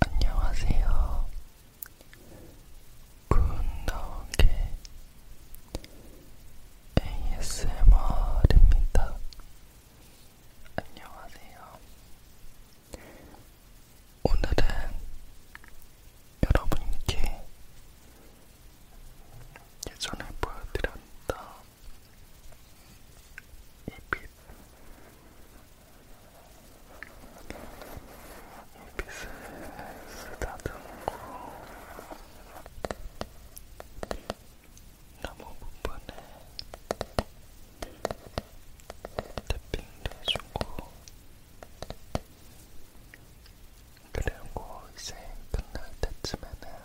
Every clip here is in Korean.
안녕하세요. 굿나오게 ASMR입니다. 안녕하세요. 오늘은 여러분께 예전에 보여드렸던 이빛 빛을 쓰다듬고 나무 부분에 태핑도 해주고 그리고 이제 끝날 때쯤에는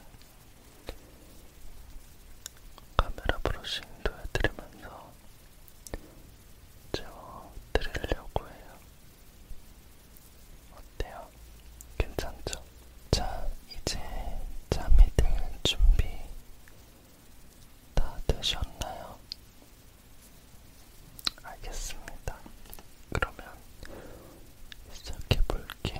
카메라 브러싱도 해드리면서 채워드리려고 해요. 어때요? 괜찮죠? 자, 이제 잠이 들 준비 다 되셨나요? 알겠습니다. 그러면 시작해 볼게요.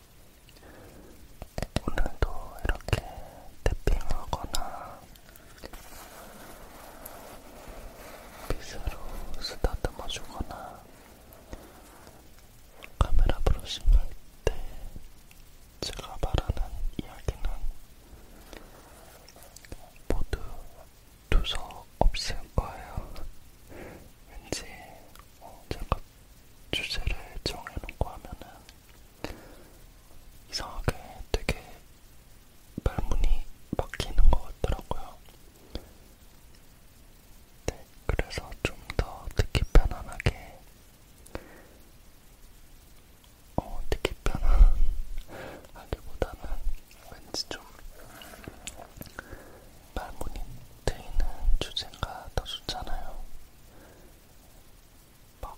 오늘도 이렇게 태핑하거나 빗으로 쓰다듬어 주거나 카메라 브러싱할 때 제가 말하는 이야기는 모두 두서 없을 거예요. 왠지 어, 제가 주제를 정해놓고 하면은 이상하게 되게 말문이 막히는 것 같더라고요. 네, 그래서 좀 더 듣기 편안하게, 어, 듣기 편안하기보다는 왠지 좀 말문이 트이는 주제가 더 좋잖아요. 막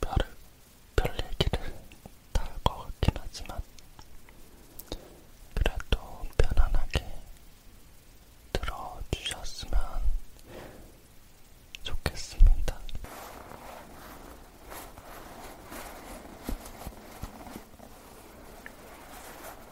별을 별 얘기를 다 할 것 같긴 하지만 그래도 편안하게 들어주셨으면 좋겠습니다.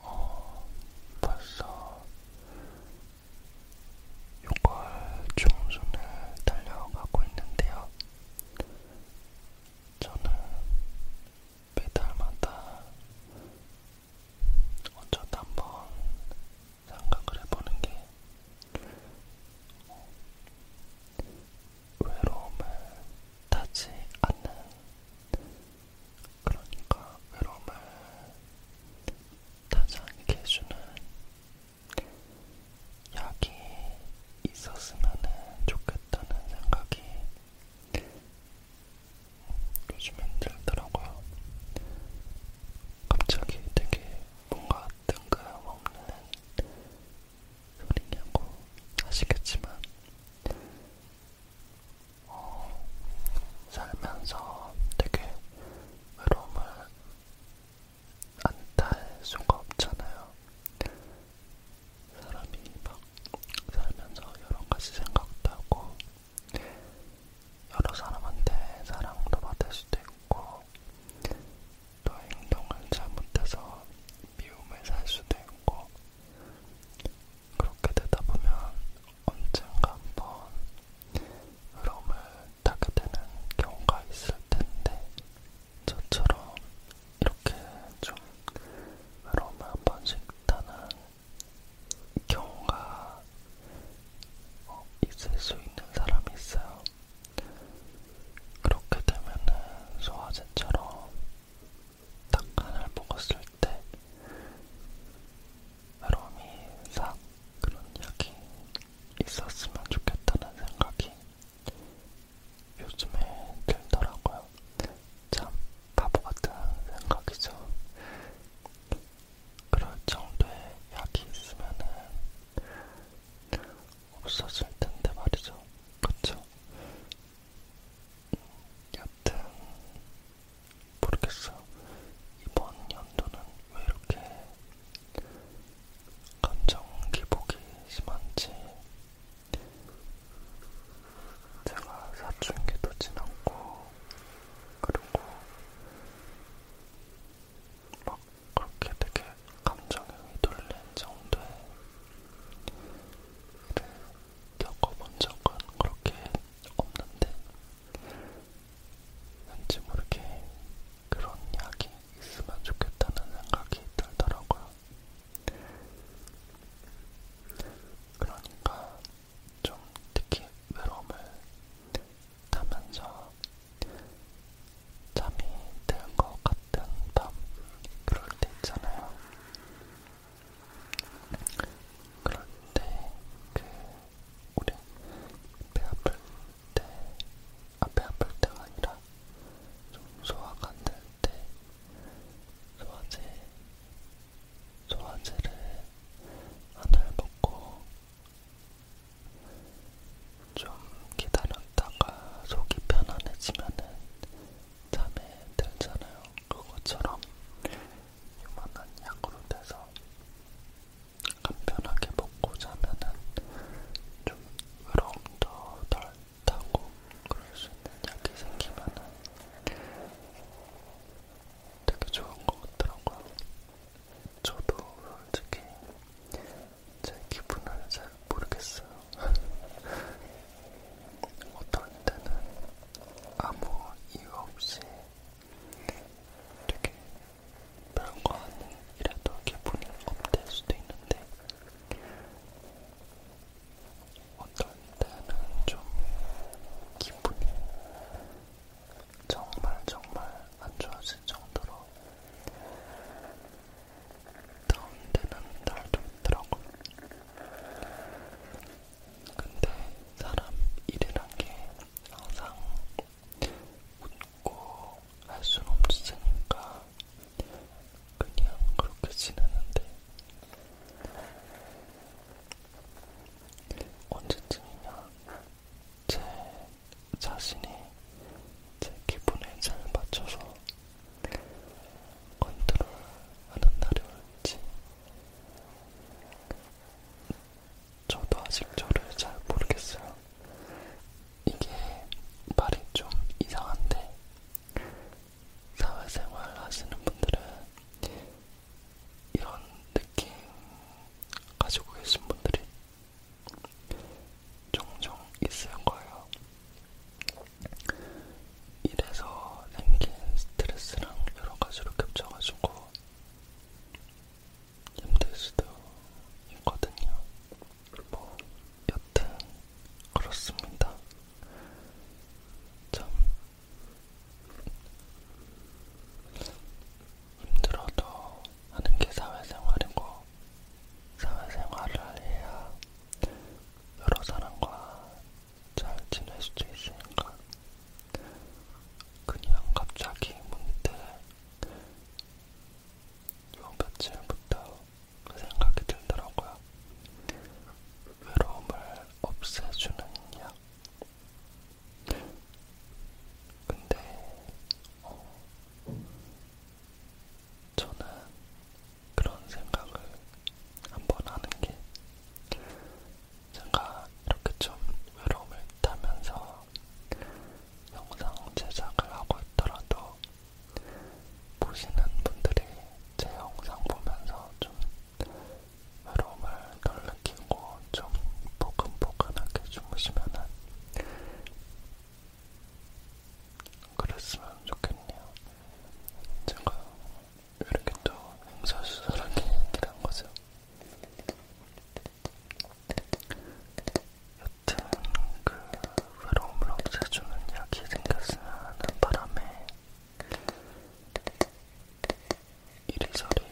어, 벌써 6월 중순을 달려가고 있는데요. 저는 매달마다 어쩌다 한번 생각을 해보는 게 어, 외로움을 타지 않는 그러니까 외로움을 타지 않게 해주는 약이 있었으면 좋겠다는 생각이 요즘엔 들더라고요. 갑자기 되게 뭔가 뜬금없는 소리냐고 하시겠지만 어, 살면서 되게 외로움을 안 탈 수가 없잖아요. 사람이 막 살면서 여러 가지 생각도 하고 여러 사람한테 사랑도 받을 수도 있고 또 행동을 잘못해서 미움을 살 수도 있고 그렇게 되다 보면 언젠가 한번 흐름을 타게 되는 경우가 있을 텐데 저처럼 이렇게 좀 흐름을 한 번씩 타는 경우가 어, 있을 수 있는 사람이 있어요. 그렇게 되면은 소화제처럼 딱 하나를 먹었을 때 아롬이 싹 그런 약이 있었으면 좋겠다는 생각이 요즘에 들더라고요. 참 바보 같은 생각이죠. 그럴 정도의 약이 있으면은 없었을 텐데 말이죠. 그쵸? 여튼 모르겠어. 이번 연도는 왜 이렇게 감정 기복이 심한지 제가 사춘기도 지났고 그리고 막 그렇게 되게 감정이 휘둘린 정도의 일을 겪어본 적은 그렇게 없는데 왠지 모르게 그런 약이 있으면 좋겠다는 생각이 들더라고요. 그러니까 좀 특히 외로움을 타면서 잠이 들 것 같은 밤 그럴 때 있잖아요. 그럴 때그 우리 배 아플 때 앞에 아, 아플 때가 아니라 좀 소화가 안 될때 소화제 소화제를 하나를 먹고 좀 기다렸다가 속이 편안해지면은 잠에 들잖아요. 그것처럼 요만한 약으로 돼서 간편하게 먹고 자면은 좀 외로움도 덜 타고 그럴 수 있는 약이 생기면은 되게 좋은 것 같더라고요. 저도 솔직히 제 기분을 잘 모르겠어요. 어떤 때는 아무 이유 없이 되게 별거 아니라도 기분이 업될 수도 있는데 어떤 때는 좀 기분이 정말 정말 안 좋아질 정도로 다운되는 날도 있더라고. 근데 사람 일이란 게 항상 웃고 할 수는 없으니까 그냥 그렇게 지내는데 언제쯤이냐 제 자신이 제 기분에 잘 맞춰서 컨트롤하는 날이 올지 저도 아직 저를 잘 모르겠어요. 이게 말이 좀 이상한데 사회생활 하시는 분들은 이런 느낌 가지고 계신 분들이 종종 있을 거예요. 일에서 생긴 스트레스랑 여러 가지로 겹쳐가지고 힘들 수도 있거든요. 뭐 여튼 그렇습니다. 참 힘들어도 하는 게 사회생활이고 사회생활을 해야 여러 사람과 잘 지낼 수도 있으니까 그냥 갑자기 문득 요 며칠부터 그 생각이 들더라고요. 외로움을 없애주는 약. 근데 어, 저는 그런 생각을 한번 하는 게 제가 이렇게 좀 외로움을 타면서 영상 제작을 하고 있더라도 보시는 분들이 제 영상 보면서 좀 외로움을 덜 느끼고 좀 포근포근하게 주무시면은 그랬으면 좋겠네요. 제가 이렇게 또 행사수설하게 얘기를 한 거죠. 여튼 그 외로움을 없애주는 약이 생겼으면 하는 바람에 이리저리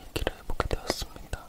얘기를 해보게 되었습니다.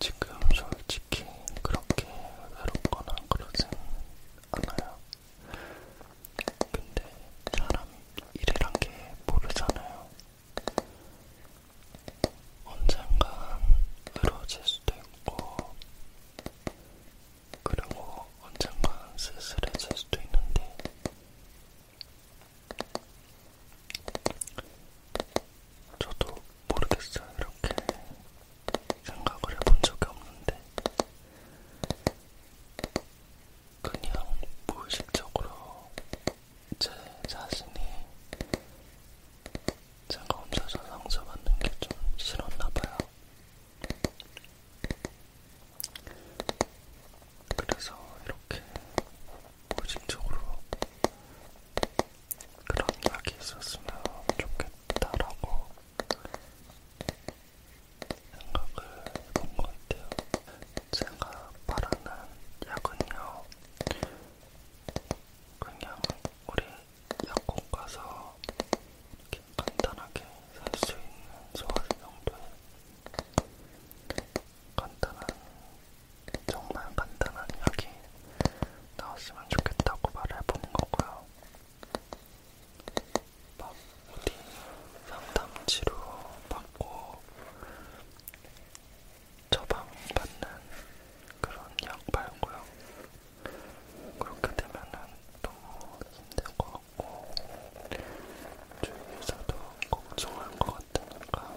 지금 솔직히 그렇게 외롭거나 그러진 않아요. 근데 사람 일이란 게 모르잖아요. 언젠간 외로워질 수도 있고 그리고 언젠가 쓸쓸해질 수도 있는데 저도 모르겠어요. 이렇게 생각을 해본 적이 없는데 그냥 무의식적으로 제 자신이 제가 혼자서 상처받는 게 좀 싫었나봐요. 그래서 이렇게 무의식적으로 그런 약이 있었으면 좋겠다라고 생각을 해본 것 같아요. 제가 바라는 약은요, 그냥 우리 약국 가서 이렇게 간단하게 살 수 있는 소화제 정도의 간단한, 정말 간단한 약이 나왔으면 좋겠다고 말해 보는 거고요. 막 어디 상담치료 받고 처방받는 그런 약 말고요. 그렇게 되면은 너무 힘들 것 같고 주위에서도 걱정할 것 같으니까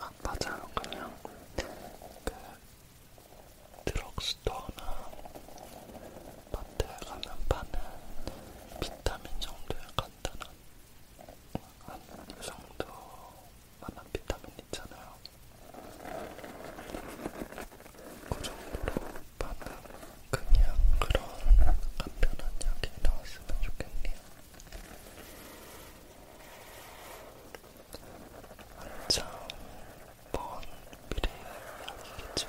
아 맞아요 그냥 그 드럭스토어나 마트에 가면 파는 비타민 정도의 간단한 한이 정도 만한 비타민 있잖아요. 그 정도로 방금 그냥 그런 간편한 약이 나왔으면 좋겠네요. 한참 먼 미래의 약이겠죠.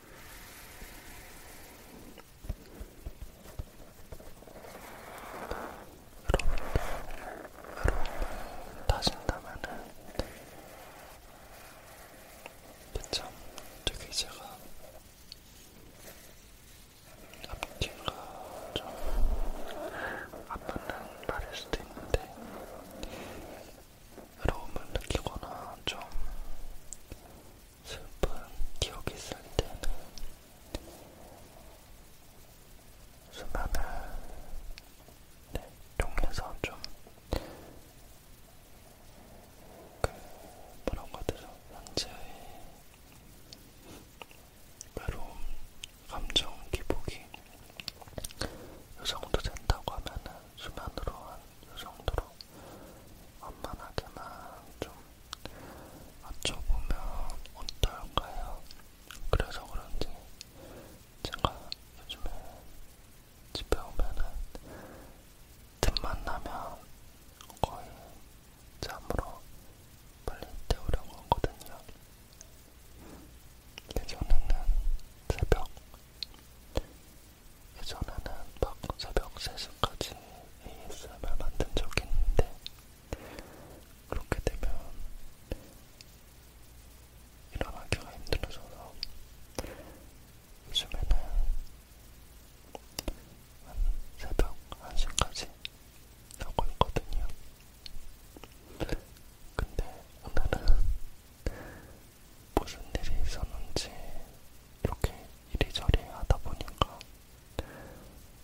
여러분도 따진다면은 그쵸? 되게 제가 앞뒤가 좀안 맞는 말일 수도 있는데 외로움을 느끼거나 좀 슬픈 기억이 있을 때는 수면을 네, 이용해서 좀 그, 뭐라고 하죠? 현재의 외로움, 감정 기복이 이 정도 된다고 하면은 수면으로 한 이 정도로 완만하게만 좀 맞춰보면 어떨까요? 그래서 그런지 제가 요즘에 집에 오면은 틈만 나면 거의 잠으로 빨리 때우려고 하거든요. 예전에는 새벽 예전에는 막 새벽 3시까지 ASMR 만든 적이 있는데 그렇게 되면 일어나기가 힘들어져서 요즘에는 한 새벽 1시까지 하고 있거든요. 근데 오늘은 무슨 일이 있었는지 이렇게 이리저리 하다 보니까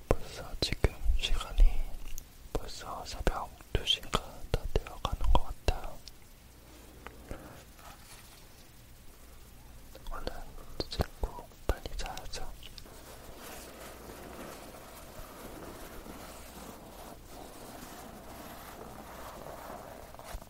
벌써 지금 시간이 벌써 새벽 2시가 다 되어가는 것 같아요. 오늘 씻고 빨리 자야죠.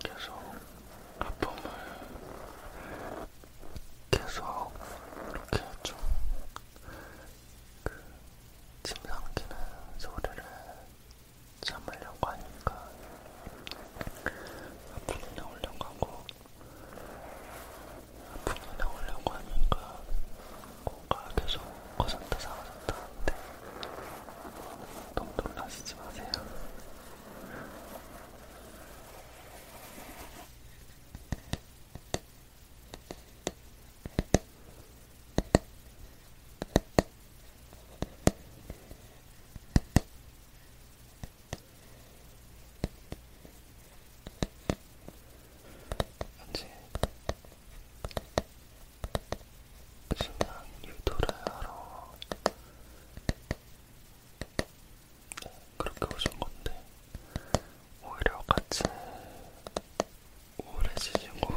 계속 아픔을 계속 이렇게 좀 그 침삼키는 소리를 참으려고 하니까 아픔이 나오려고 하고 아픔이 나오려고 하니까 코가 계속 거졌다 사라졌다 하는데 동동 나시지 마세요. 이제 신단 유도를 하러 네, 그렇게 오신 건데 오히려 같이 우울해지시고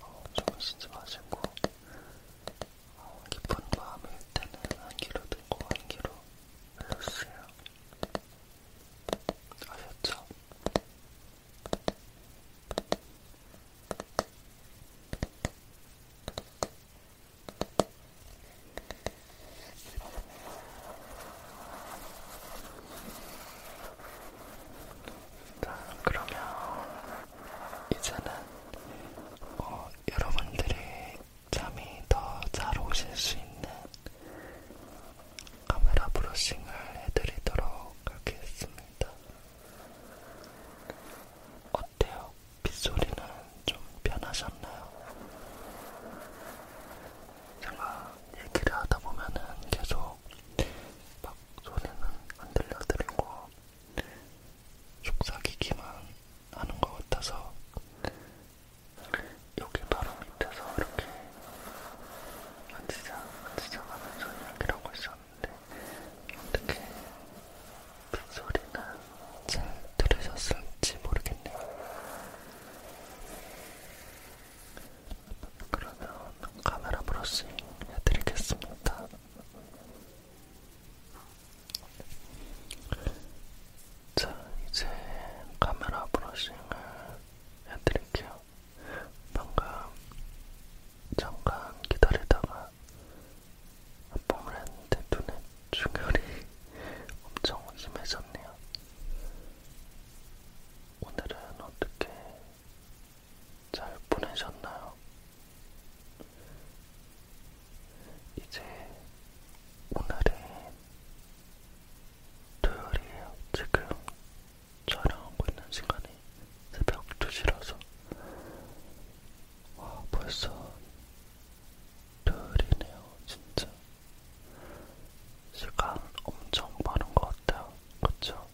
어, 주무시지 마시고 어, 깊은 마음일 때는 한 귀로 듣고 한 귀로 흘러주세요 아셨죠? 자, 그러면 이제는 어, 여러분들이 잠이 더 잘 오실 수 있는 카메라 브러싱을 해드리도록 하겠습니다. 어때요? 빗소리는 좀 변하셨나요? 제가 얘기를 하다 보면은 계속 막 소리는 안 들려드리고 속삭이기만 하는 것 같아서 여기 바로 밑에서 이렇게 지장, 지장하면서 이야기를 하고 있었는데 어떻게 그 소리가 잘 들으셨을지 모르겠네요. 그러면 카메라 브러싱 해드리겠습니다. 자, 이제 카메라 브러싱을 해드릴게요. 방금 잠깐 기다리다가 아픔을 했는데 눈에 충혈이 엄청 심해졌네요. 오늘은 어떻게 잘 보내셨나요? 이제 오늘이 토요일이에요. 지금 촬영하고 있는 시간이 새벽 2시라서 와 벌써 토요일이네요 진짜 시간 엄청 빠른 것 같아요 그쵸?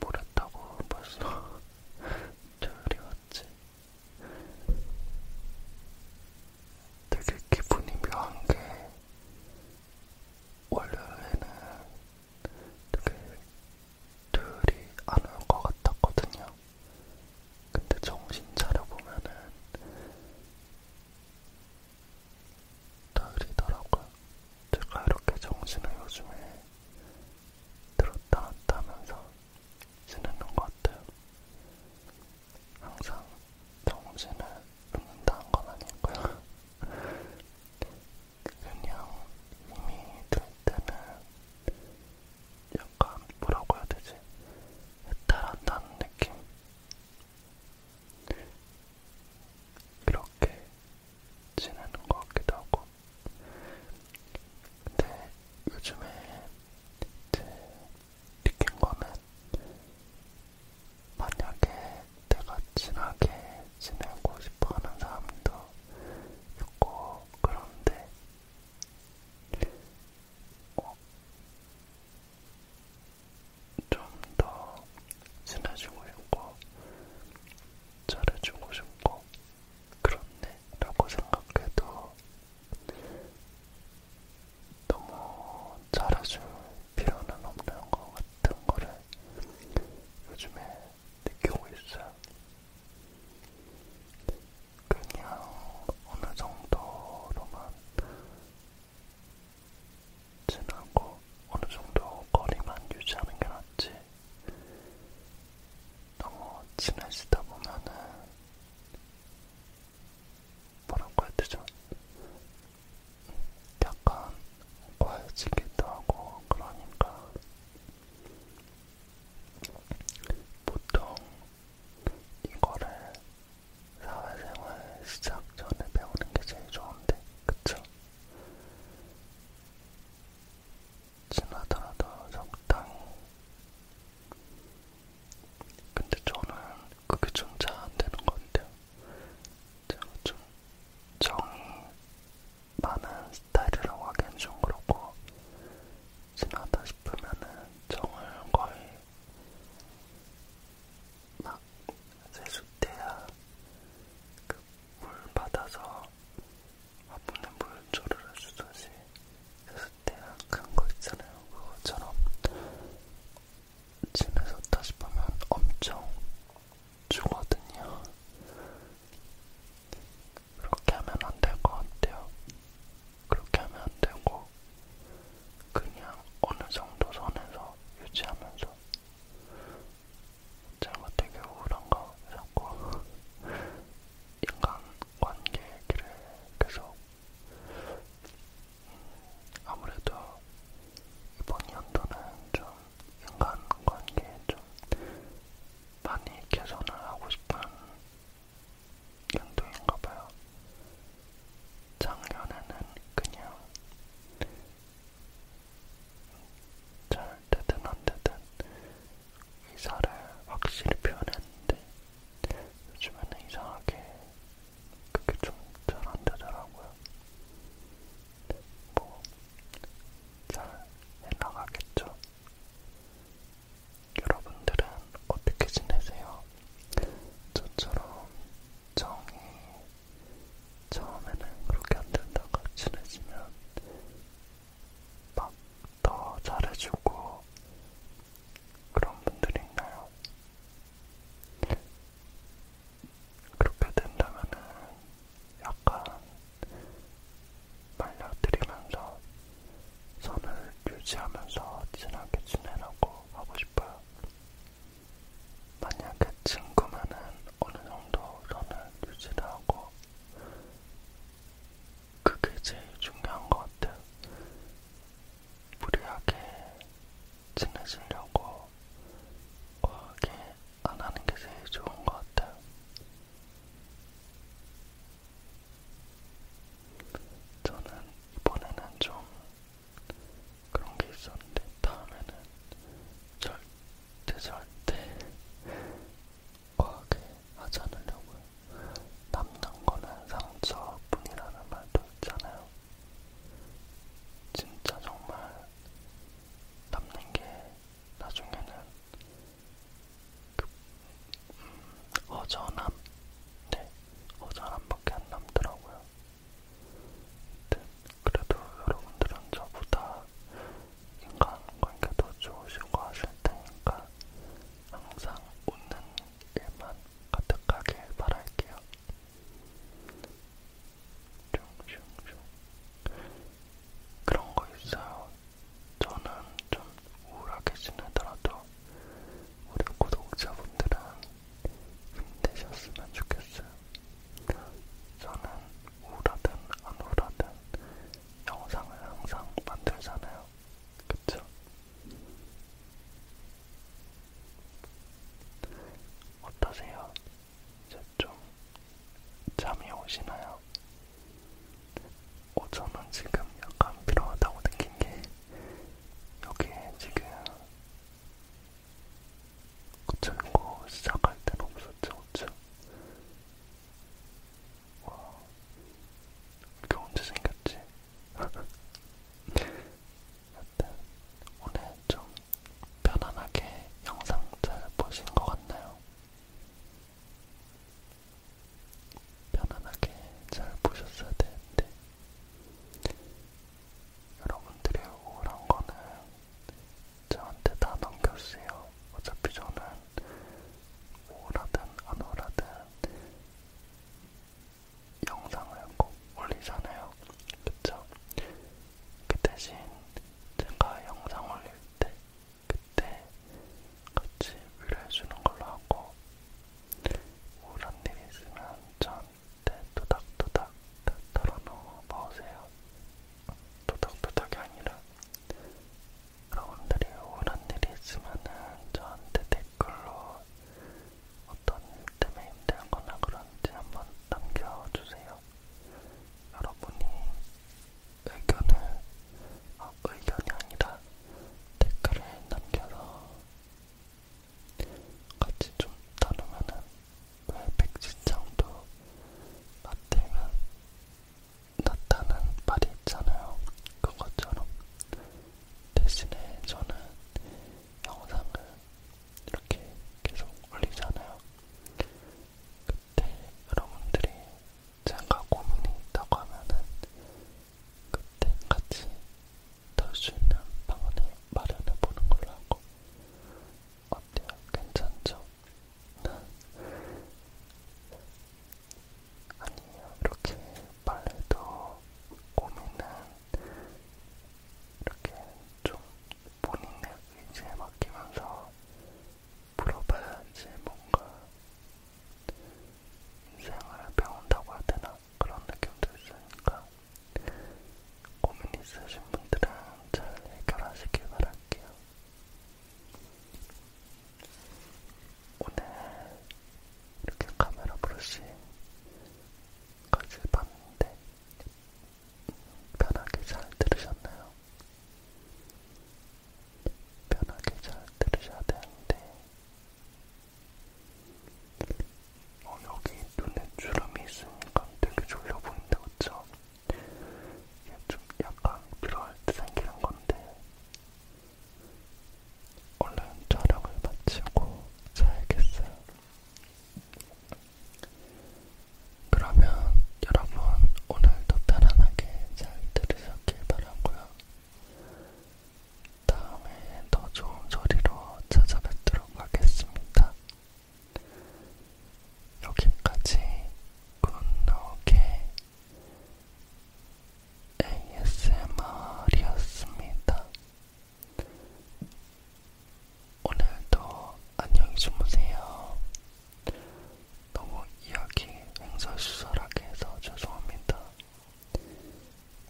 뭘 했다고 벌써 토요일이 왔지 되게 기분이 묘한 게 월요일에는 되게 둘이 안올것 같았거든요. 근데 정신 차려보면은 토요일이더라고요. 제가 이렇게 정신을 요즘에 들었다 놨다 하면서 지내는 것 같아요. 항상 정신을 끊는다는 건 아니고요. 그냥 힘이 들 때는 약간 뭐라고 해야 되지? 해탈한다는 느낌? 이렇게 지내는 것 같기도 하고 근데 요즘에 이제 느낀 거는 만약에 내가 친하게 지내고 싶어 하는 사람도 있고, 그런데, 어, 좀더 친해지고 싶고, 잘해주고 싶고, 그렇네, 라고 생각해도, 너무 잘해줄 필요는 없는 것 같은 거를 요즘에 느끼고 있어요. 그냥 어느 정도로만 지나고 어느 정도 거리만 유지하는 게 낫지. 너무 친해지다 보면은 뭐라고 해야 되죠? 약간 과해지기도 하고 그러니까 보통 이거를 사회생활 시작 전에 배우는 게 제일 좋은데 그쵸? 지나더라도 적당히 근데 저는 그게 좀 잘 안되는 것 같아요 제가 좀 정이 많은 스타일이라고 하기엔 좀 그렇고 심하다 싶으면은 정을 거의 막 세숫대야 그물 받아서 아프는 물 조르르 주듯이 세숫대야 큰 거 있잖아요. 그것처럼 집에서 다시 보면 엄청 주거든요. 그렇게 하면 안 될 것 같아요. 그렇게 하면 안 되고, 그냥 어느 정도 선에서 유지하면서. 제가 되게 우울한가 자꾸 인간관계 얘기를 계속 아무래도 이번 연도는 좀 인간관계에 좀 많이 개선을 하고 싶은 연도인가봐요. 작년에는 그냥 잘 되든 안 되든 의사를 확실히 표현했는데 요즘에는 이상하게 그게 좀 잘안 되더라고요. 뭐잘 해나가겠죠. 여러분들은 어떻게 지내세요? 저처럼 정이 처음에는 그렇게 안 된다고 친해지면 막 더 잘해주고 그런 분들이 있나요? 그렇게 된다면은 약간 말려드리면서 선을 유지하면서 친하게 지내라고 하고 싶어요. 만약에 친구면은 어느 정도 선을 유지를 하고 그게 제일 중요한 것 같아요. 무리하게 친해지려고 과하게 안 하는 게 제일 좋은 것 같아요. 저는 이번에는 좀 그런 게 있었는데 다음에는 절대 절대 과하게 하지 않으려고요. 남는 거는 상처뿐이라는 말도 있잖아요. 진짜 정말 남는 게 나중에는 그, 음, 어전함, 네, 어전함밖에 안 남더라고요. 네, 그래도 여러분들은 저보다 인간관계도 좋으시고 하실 테니까 항상 웃는 일만 가득하게 바랄게요. 슝슝슝. 그런 거 있어요. 저는 좀 우울하게 지내더라도 우리 구독자분들은 힘내셨으면 좋겠어요. 저는 우울하든 안 우울하든 영상을 항상 만들잖아요. 그쵸? 어떠세요? 이제 좀 잠이 오시나요? 어, 저는 지금 약간 필요하다고 느낀 게 여기에 지금 고철고 시작할 땐 없었죠, 그쵸? 와, 이게 언제 생겼지? 여튼 오늘 좀 편안하게 영상 잘 보신 것 같나요? 편안하게 잘 보셨어야 되는데 여러분들의 우울한 거는 저한테 다 넘겨주세요. 어차피 저는 우울하든 안 우울하든 영상을 꼭 올리잖아요. 그쵸? 그 대신 제가 영상 올릴 때 그때 같이 위로해주는 걸로 하고 우울한 일 있으면 저한테 도닥도닥 다 털어놓고 보세요. 도닥도닥이 아니라 여러분들이 우울한 일이 있으면 저한테 댓글로 어떤 일 때문에 힘들거나 그런지 한번 남겨주세요. 여러분이 의견을, 아, 의견이 아니라 댓글을 남겨서 같이 좀 다루면은 왜 백지장도 나태면 나타난 말이 있잖아요. 그것처럼 대신에 저는 영상을 이렇게 계속 올리잖아요. 그때 여러분들이 제가 고민이 있다고 하면은 그때 같이 털수 있는 방안을 마련해 보는 걸로 하고 어때요? 괜찮죠? 아니에요. 이렇게 빨래도 고민은 이렇게 좀 본인의 의지에 맡기면서 물어봐야지 뭔가 인생을 배운다고 하되나 그런 느낌도 있으니까 고민 있으신 분들은 잘 해결하시길 바랄게요. 오늘 이렇게 카메라 브러싱까지 봤는데 편하게 잘 들으셨나요? 편하게 잘 들으셔야 되는데 어, 여기 눈에 주름이 있으니까 되게 졸려 보인다 그쵸? 이게 좀 약간 들어갈 때 생기는 건데 얼른 촬영을 마치고 자야겠어요. 그러면 여러분 오늘도 편안하게 잘 들으셨길 바라고요. 다음에 더 좋은 소리로 찾아뵙도록 하겠습니다. 여기까지 굿노게 ASMR이었습니다. 오늘도 안녕히 주무세요. 너무 이야기 횡설수설하게 해서 죄송합니다.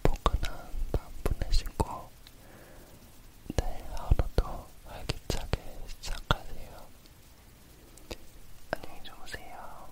포근한 밤 보내시고 내일 네, 하루도 활기차게 시작하세요. 안녕히 주무세요.